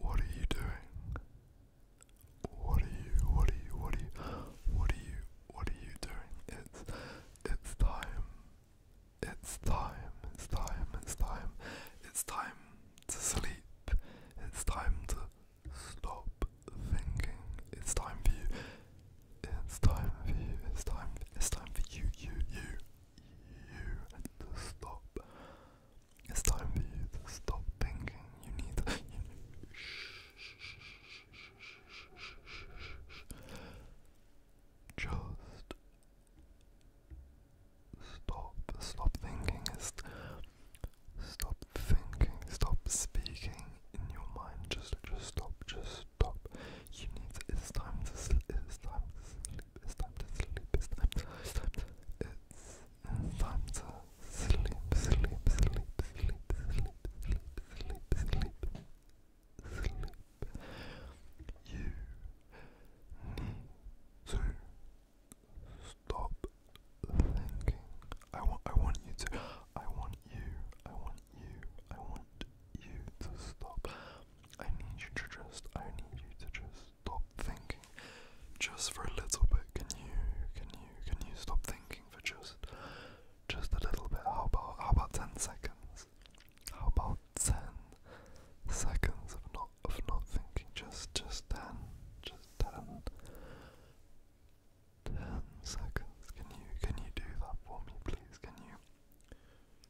What are you doing? What are you, what are you, what are you, what are you, what are you doing? It's, it's time. It's time, it's time, it's time, it's time to sleep. It's time to stop thinking. It's time for you. It's time for you. It's time. It's time for you, you, you, you to stop it's time for you to stop thinking. You need to. just stop. Stop thinking. stop thinking. Stop speaking in your mind. Just, just stop. Just stop. You need. To, it's time to. It's time to sleep. It's time to sleep. It's time to sleep. sleep. Sleep, sleep, sleep, sleep, sleep, sleep, sleep, sleep. You need to stop thinking. I want. I want you to. I want you. I want you. I want you to stop I need you to just, I need you to just stop thinking, just for a little bit. Can you, can you, can you stop thinking for just, just a little bit? How about, how about ten seconds? How about ten seconds of not, of not thinking? Just, just ten, just ten. 10 seconds. Can you can you do that for me please? Can you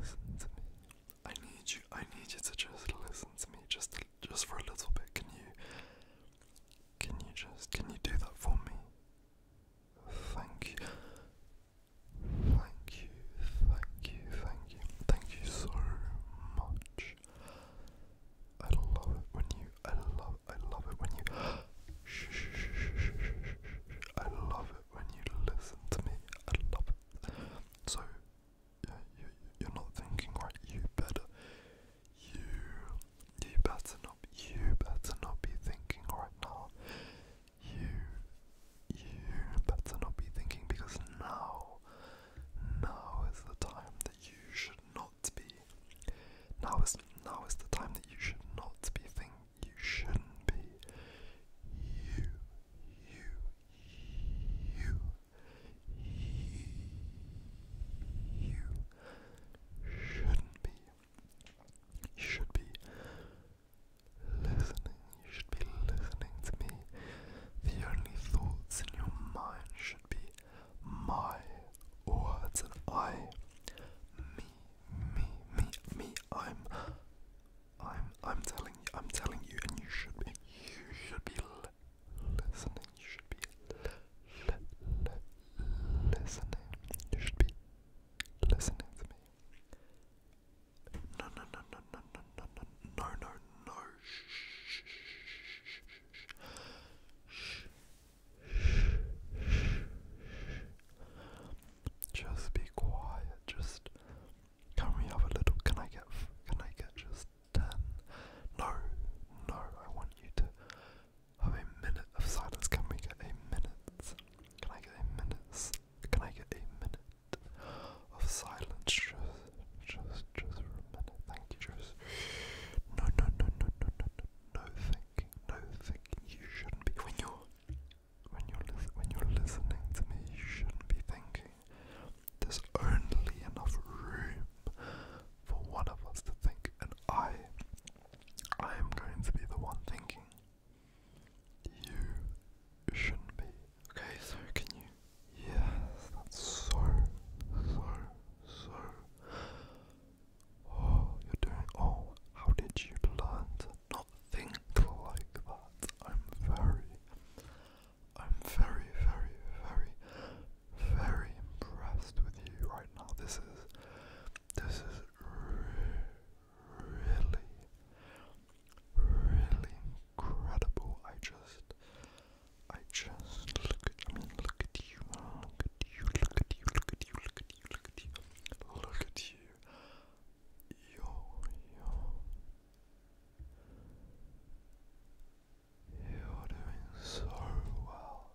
Listen to me. I need you. I need you to just listen to me, just just for a little bit. Can you? Can you just? Can you do that for me? Thank you. Thank you. Thank you. Thank you. Thank you so much. I love it when you. I love. I love it when you. Shh, shh, shh, shh, shh, shh, shh. I love it when you listen to me. I love so you you're not thinking right. You better you you better not you better not be thinking right now. You you better not be thinking because now now is the time that you should not be now is now is the time that you should not be thinking. You shouldn't be. You, you, you, you shouldn't be. should be listening. should be listening to me. The only thoughts in your mind should be my words and I. Me, me, me, me. I'm I'm I'm telling you I'm telling you and you should be you should be listening you should be listening you should be listening to me no no no no no no no no no no no shh shh shh shh shh just be quiet. Just can we have a little? Can I get? Can I get just ten? No, no. I want you to have a minute of silence. Can we get a minute? Can I get a minute? Can I get a minute of silence? Just, just, just for a minute. Thank you. Just no, no, no, no, no, no, no. No thinking. No thinking. You shouldn't be when you're when you're when you're listening to me, you shouldn't be thinking there's only enough room for one of us to think, and I, I am going to be the one thinking. You shouldn't be. Okay, sir. can you? Yes, so, so, so. Oh, you're doing. Oh, how did you learn not think like that. I'm very, I'm very, very, very, very impressed with you right now. This is, this is really, really incredible. I just, I just look at, I mean, look at you, look at you, look at you, look at you, look at at you, look at you, look at you. Yo, You're doing so well.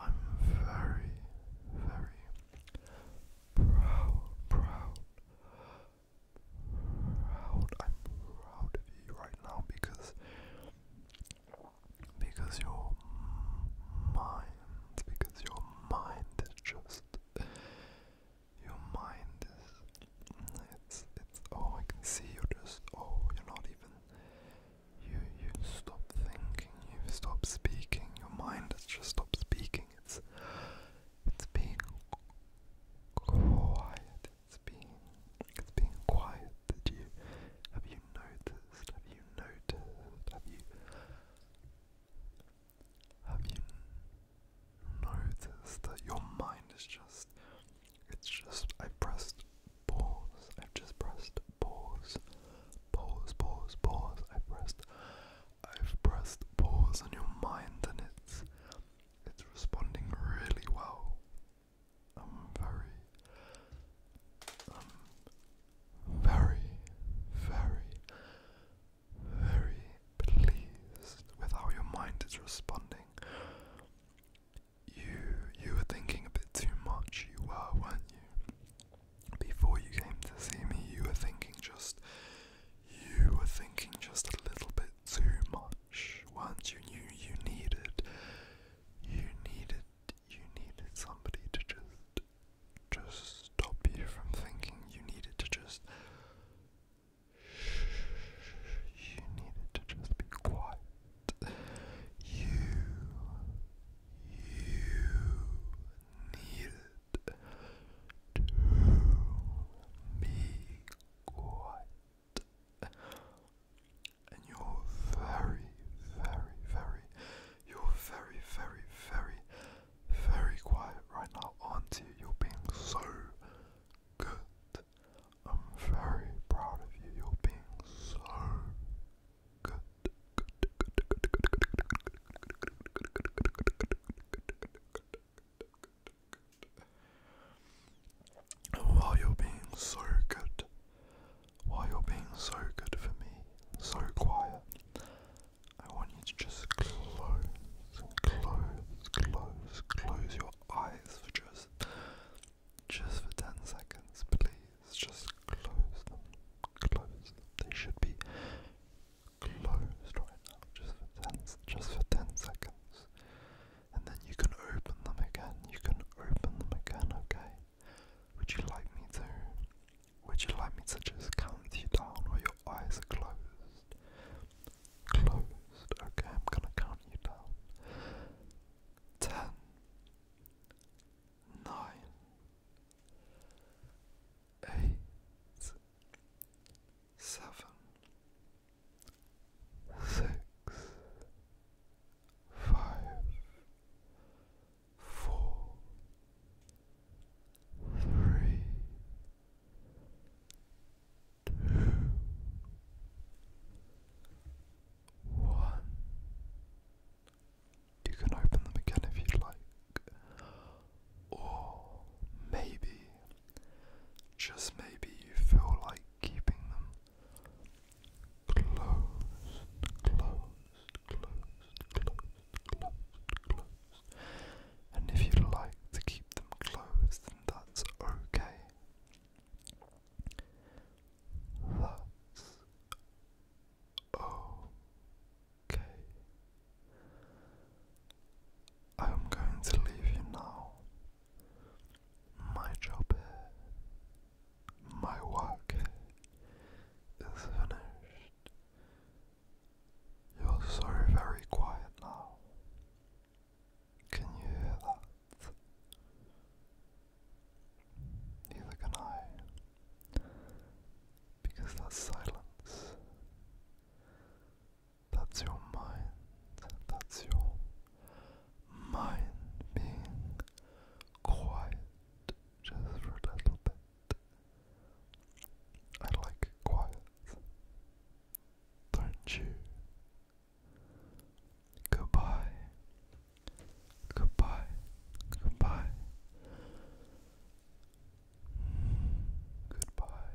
I'm very, very proud, proud, proud. I'm proud of you right now because because your mind, because your mind is just, your mind is, it's, it's, oh, I can see you're just, oh, you're not even, you, you stop thinking, you stop speaking, your mind has just stopped speaking, it's, it's being quiet, it's being, it's being quiet, did you, have you noticed, have you noticed? Have you have you noticed that your mind is just it's just I pressed pause. I've just pressed pause. Pause, pause, pause. I pressed I've pressed pause on your mind and it's it's responding really well. I'm very, I'm very, very, very pleased with how your mind is responding. You you were thinking a bit too much, you were, weren't you? Before you came to see me, you were thinking just you were thinking just a little bit too much, were you? You you needed you needed you needed somebody to just just stop you from thinking. You needed to just you needed to just be quiet. You you needed to be quiet and you're very, very, very, you're very, very, very, very quiet right now, aren't you? You're being so good. I'm very proud of you. You're being so good. good, why you're being so good. Why you're being so good for me, so quiet. I want you to just close, close, close, close your eyes for just, just for ten seconds, please. Just close them, close They should be closed right now, just for ten, just for ten seconds and then you can open them again. You can open them again, okay? Would you like me to? Would you like me to just count you down while your eyes are closed? Closed, okay, I'm gonna count you down. Ten, nine, eight, seven, six, five, four, three, two, one. You can open them again if you'd like, or maybe, just maybe, you feel like keeping them Close, closed, closed, closed, closed, closed. And if you like to keep them closed, then that's okay. That's okay. I am going to leave you now. My job, my work is finished. You're so very quiet now. Can you hear that? Neither can I, because that silence that's your mind. That's your mind being quiet just for a little bit. I like quiet. Don't you? Goodbye. Goodbye. Goodbye. Goodbye.